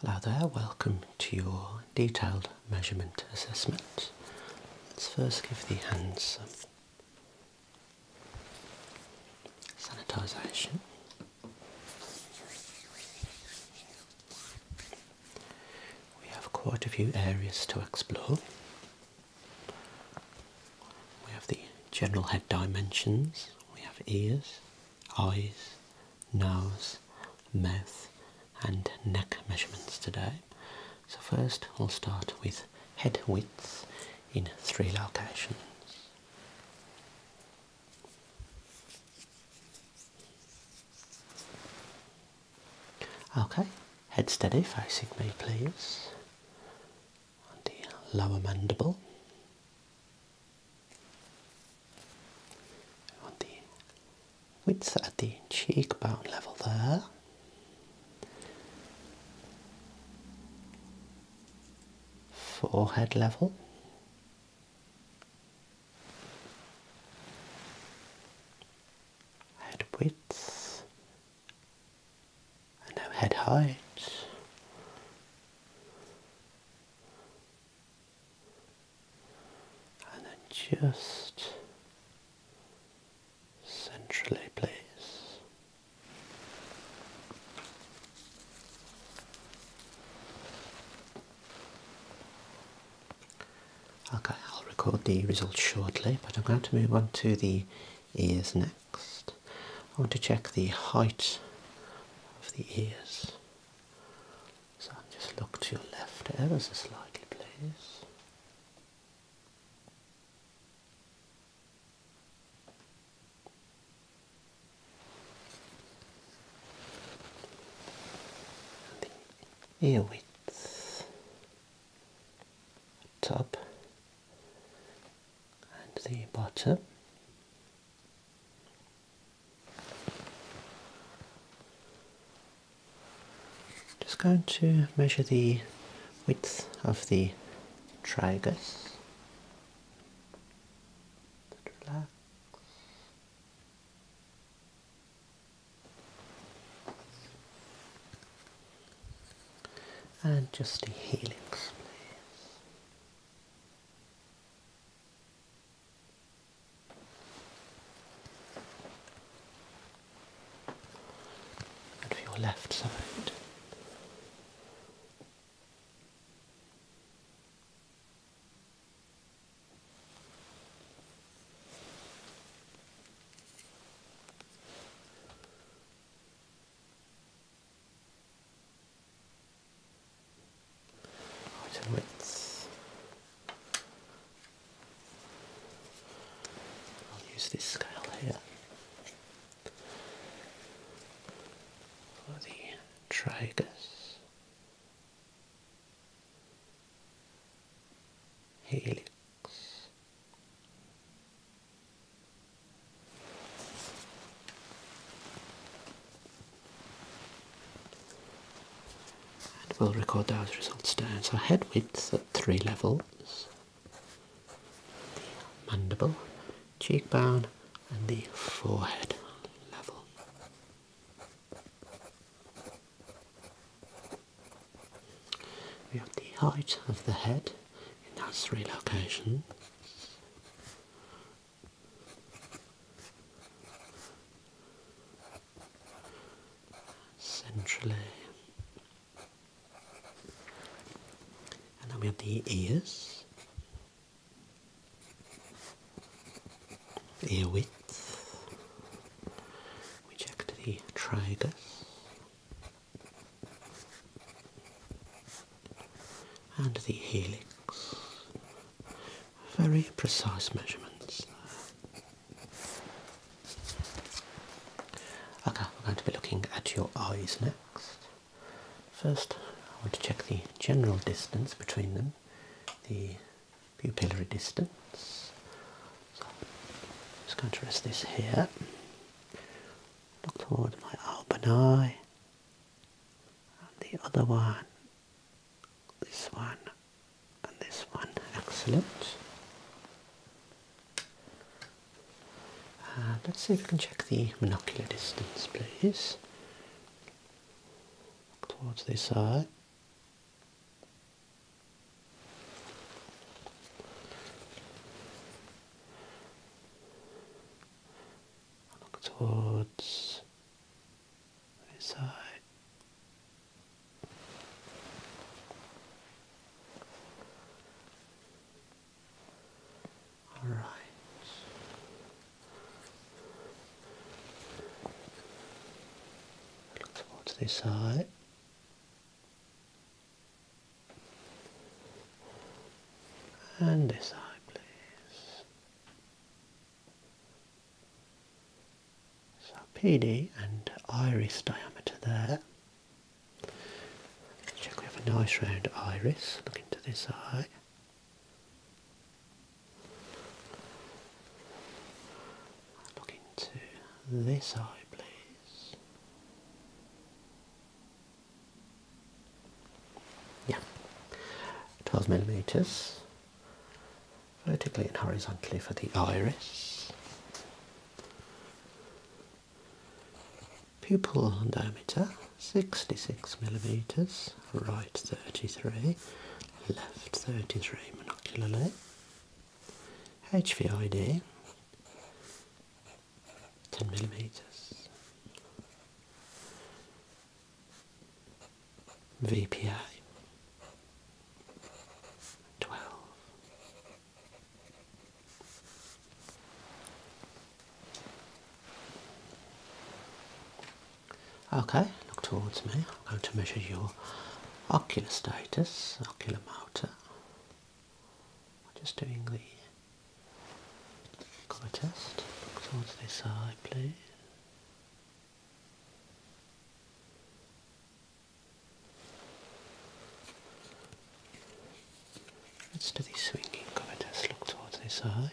Hello there, welcome to your detailed measurement assessment. Let's first give the hands some sanitisation. We have quite a few areas to explore. We have the general head dimensions, we have ears, eyes, nose, mouth and neck measurements today. So first we'll start with head width in three locations. Okay, head steady facing me please. On the lower mandible on the width at the cheekbone level there. Forehead level. Head width. And now head height and then just centrally, please. Okay, I'll record the results shortly, but I'm going to move on to the ears next. I want to check the height of the ears. So just look to your left There is a slightly, place. The ear width top and the bottom just going to measure the width of the tragus. And just the helix, please. And for your left side. Right, I'll use this scale here for the tragus, helix. And we'll record those results down. So head width at three levels, the mandible, cheekbone and the forehead level. We have the height of the head in those three locations centrally. And then we have the ears, ear width. We check the tragus and the helix. Very precise measurements. Okay, we're going to be looking at your eyes next. First, I want to check the general distance between them, the pupillary distance. I'm just going to rest this here. Look towards my open eye and the other one, this one, and this one. Excellent. Uh, let's see if we can check the monocular distance, please. towards this eye. Look towards this side. All right. Look towards this side. And this side, please. Sarpini and iris diameter there. check we have a nice round iris. Look into this eye. Look into this eye, please. Yeah, 12 millimeters vertically and horizontally for the iris. Pupil diameter 66 millimeters, right 33, left 33 monocularly. HVID 10 millimeters. VPI twelve. Okay, look towards me. I'm going to measure your ocular status, ocular motor. I'm just doing the Colour test. Look towards this eye, please. Let's do the swinging cover test. Look towards this eye.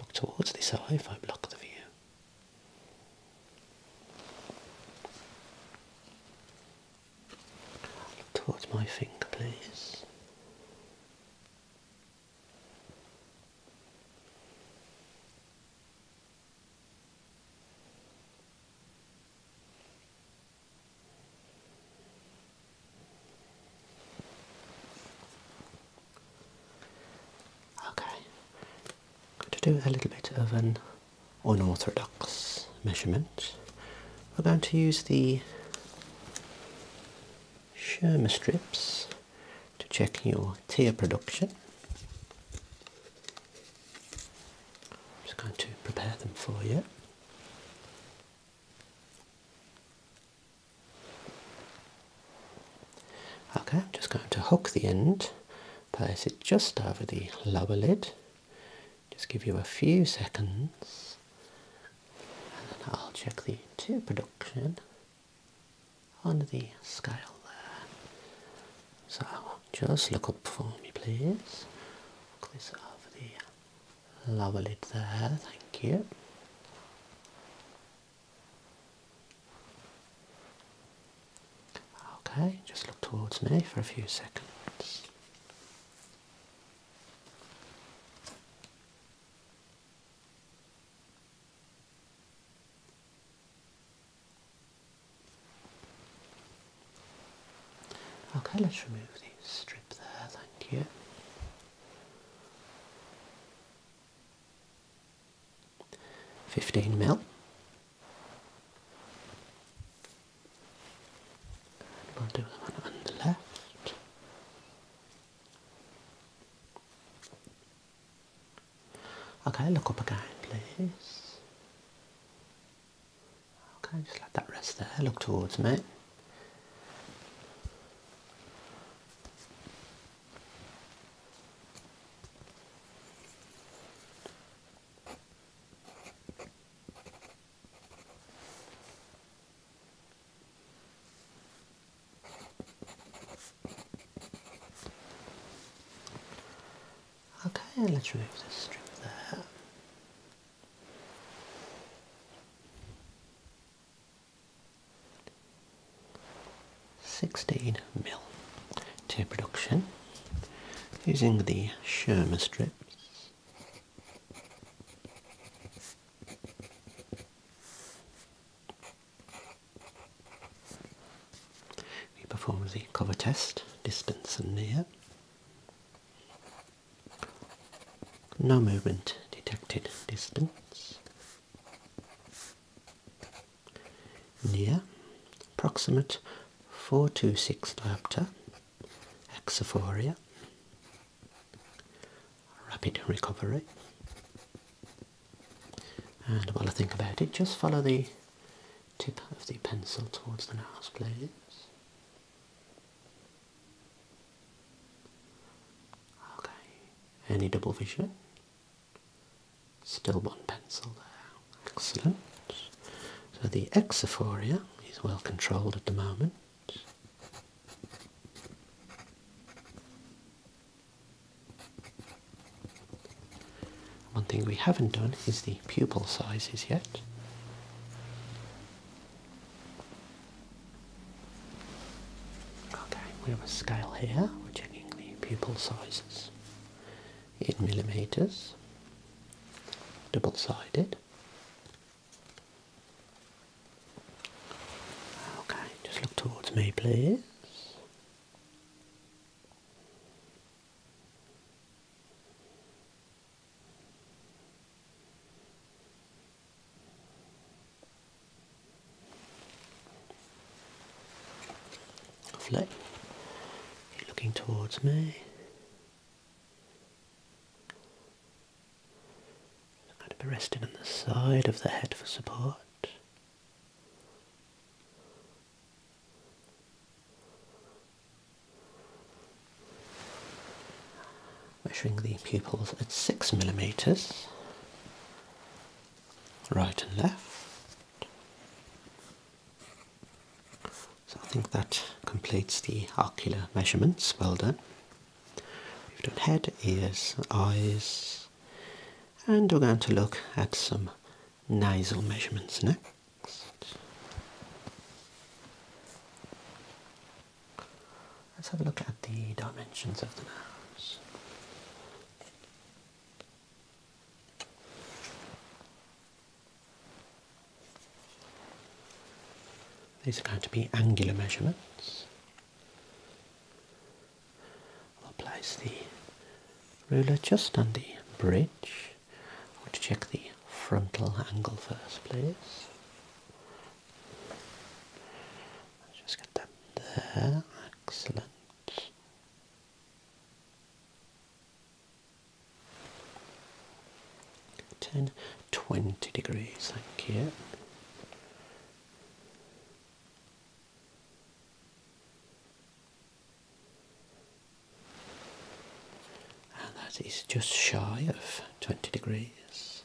Look towards this eye if I block the view. Towards my finger, please. Okay, to do a little bit of an unorthodox measurement, we're going to use the Sherma strips to check your tear production. I'm just going to prepare them for you. Okay, I'm just going to hook the end place it just over the lower lid. Just give you a few seconds and then I'll check the two production on the scale there. So just look up for me please. Look this over the lower lid there, thank you. Okay, just look towards me for a few seconds. Okay, let's remove the strip there, thank you. 15 mil. i will do the one on the left. Okay, look up again, please. Okay, just let that rest there. Look towards me. Okay, let's remove this strip there. 16 mil to production using the Sherma strips. We perform the cover test, distance and near. No movement detected distance near proximate 426 diopter axiphoria rapid recovery and while I think about it just follow the tip of the pencil towards the nose please okay any double vision Still one pencil there. Excellent. So the exophoria is well controlled at the moment. One thing we haven't done is the pupil sizes yet. Okay, we have a scale here, we're checking the pupil sizes in millimeters, double-sided. Okay, just look towards me, please looking towards me. I'm resting on the side of the head for support. Measuring the pupils at six millimetres, right and left. So I think that completes the ocular measurements. Well done. We've done head, ears, eyes, and we're going to look at some nasal measurements next. Let's have a look at the dimensions of the nose. These are going to be angular measurements. I'll place the ruler just on the bridge. I want to check the frontal angle first, please. Let's just get that there. Excellent. 10, 20 degrees, thank you. And that is just shy of 20 degrees.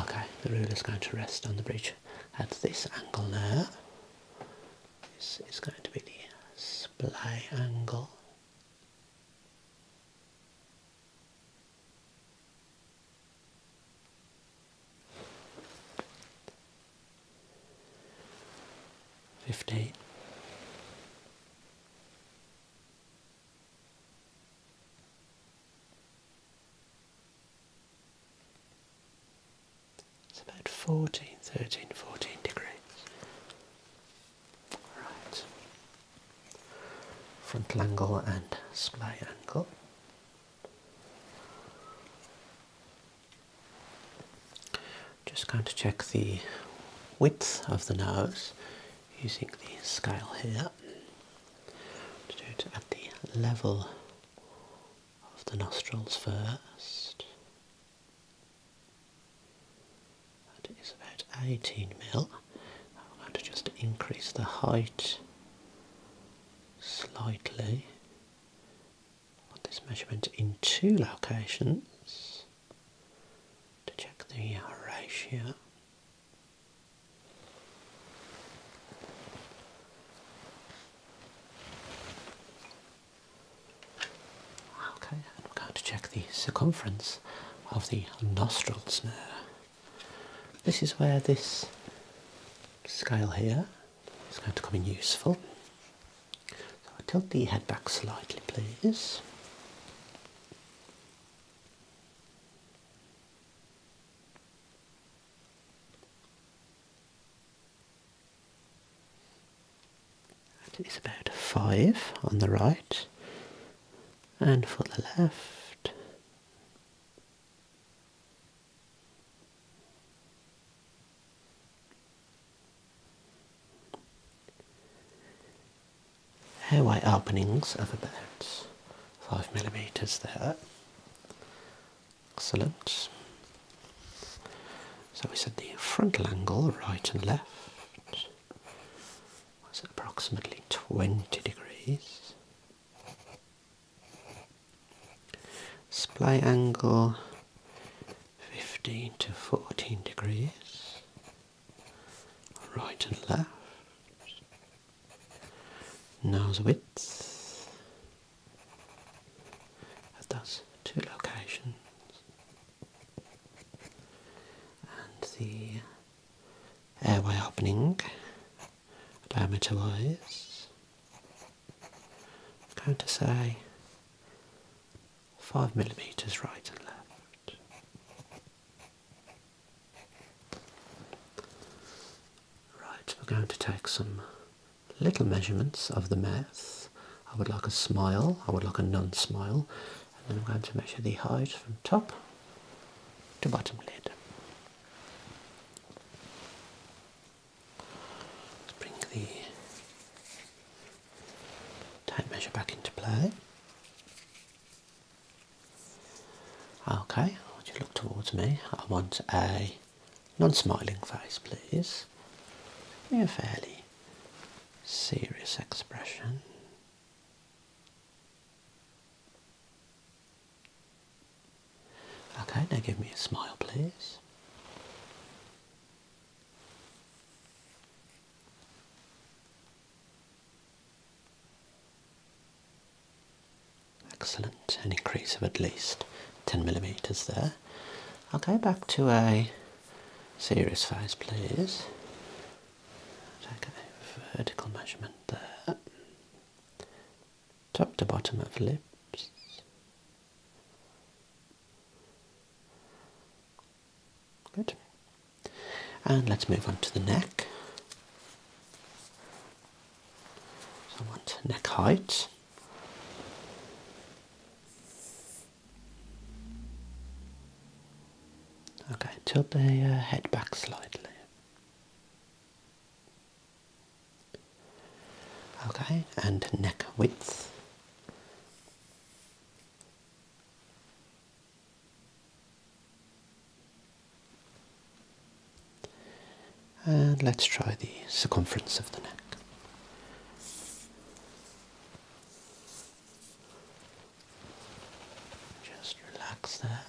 Okay, the ruler is going to rest on the bridge at this angle There, This is going to be the supply angle. Fifteen. It's about 14, 13, 14 degrees. Right. Frontal angle and splay angle. Just going to check the width of the nose using the scale here do it at the level of the nostrils first. That is about 18 mil. I'm going to just increase the height slightly. Put this measurement in two locations to check the ratio. Okay, and we're going to check the circumference of the nostrils now. This is where this scale here is going to come in useful. So i tilt the head back slightly, please. It is about 5 on the right and for the left. Airway openings of about five millimeters there. Excellent. So we said the frontal angle, right and left, was approximately 20 degrees. Splay angle 15 to 14 degrees, right and left. Nose width. at those two locations. And the airway opening diameter wise. I'm going to say 5 millimeters right and left. Right, we're going to take some little measurements of the mouth. I would like a smile, I would like a non smile, and then I'm going to measure the height from top to bottom lid. Let's bring the tape measure back into play. Okay, I want you to look towards me. I want a non-smiling face, please. a fairly serious expression. Okay, now give me a smile, please. Excellent, an increase of at least 10 millimeters there. I'll go back to a serious face, please. Take vertical measurement there, top to bottom of lips. Good. And let's move on to the neck. So neck height. Okay, tilt the uh, head back slightly. Okay, and neck width. And let's try the circumference of the neck. Just relax there.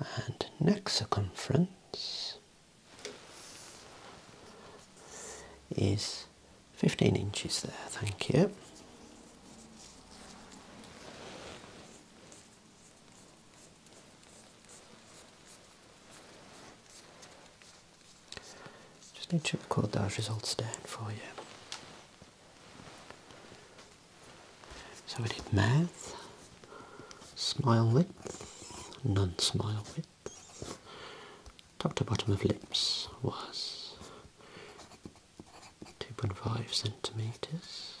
And neck circumference is 15 inches there, thank you. Just need to record those results down for you. So we did math. smile width, non-smile width. Top to bottom of lips was 2.5 centimeters.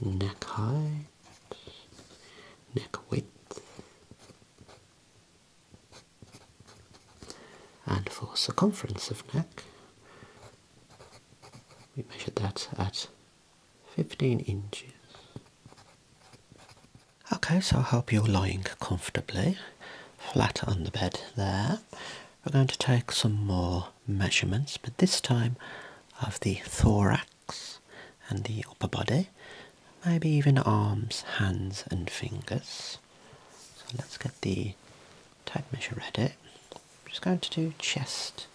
Neck height, neck width, and for circumference of neck, we measured that at 15 inches. Okay, so I hope you're lying comfortably, flat on the bed there. We're going to take some more measurements, but this time of the thorax and the upper body, maybe even arms, hands, and fingers. So let's get the tape measure ready. I'm just going to do chest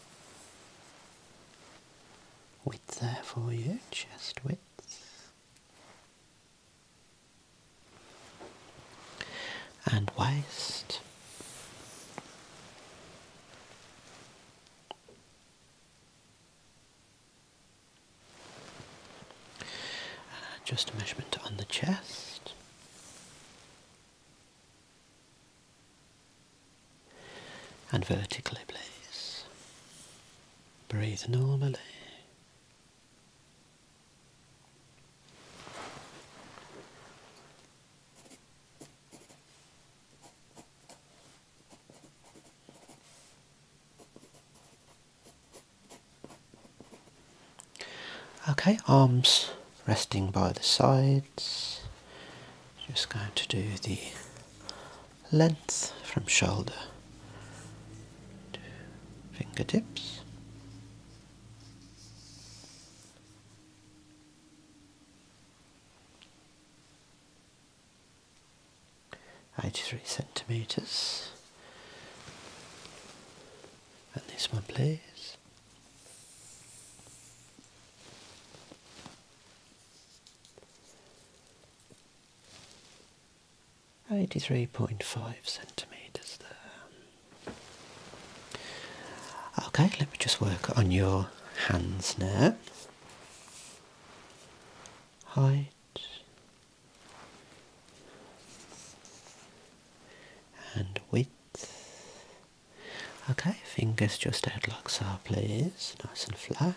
width there for you, chest width and waist. just a measurement on the chest. And vertically, please. Breathe normally. Okay, arms resting by the sides. Just going to do the length from shoulder to fingertips. Eighty-three centimeters. And this one, please. 83.5 centimetres there. Okay, let me just work on your hands now. Height. And width. Okay, fingers just out like so, please. Nice and flat.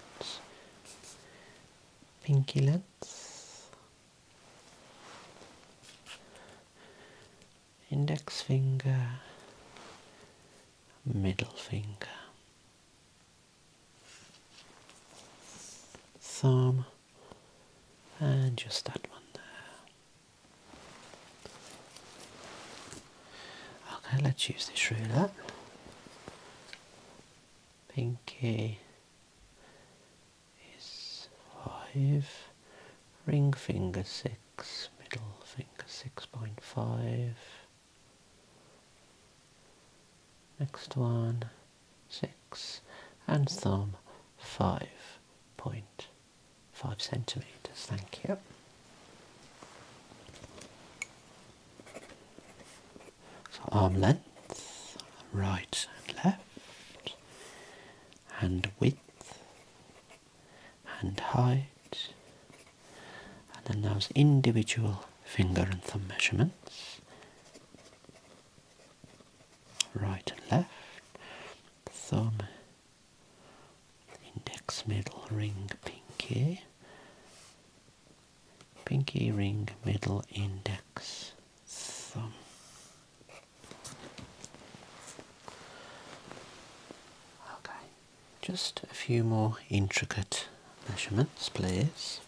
Pinky length index finger, middle finger, thumb, and just that one there. Okay, let's use this ruler pinky is five, ring finger six, middle finger six point five. Next one, six, and thumb five point five centimeters. Thank you so arm length, right and left, and width, and height, and then those individual finger and thumb measurements, right and left, thumb, index, middle, ring, pinky pinky ring, middle index, thumb. Okay, just a few more intricate measurements, please.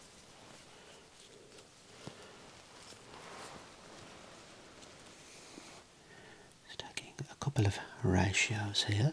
Just a couple of ratios here.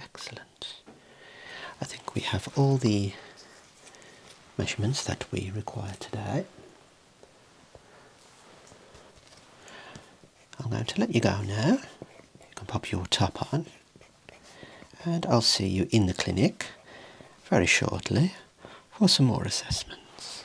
Excellent. I think we have all the measurements that we require today. I'm going to let you go now. You can pop your top on and I'll see you in the clinic very shortly for some more assessments.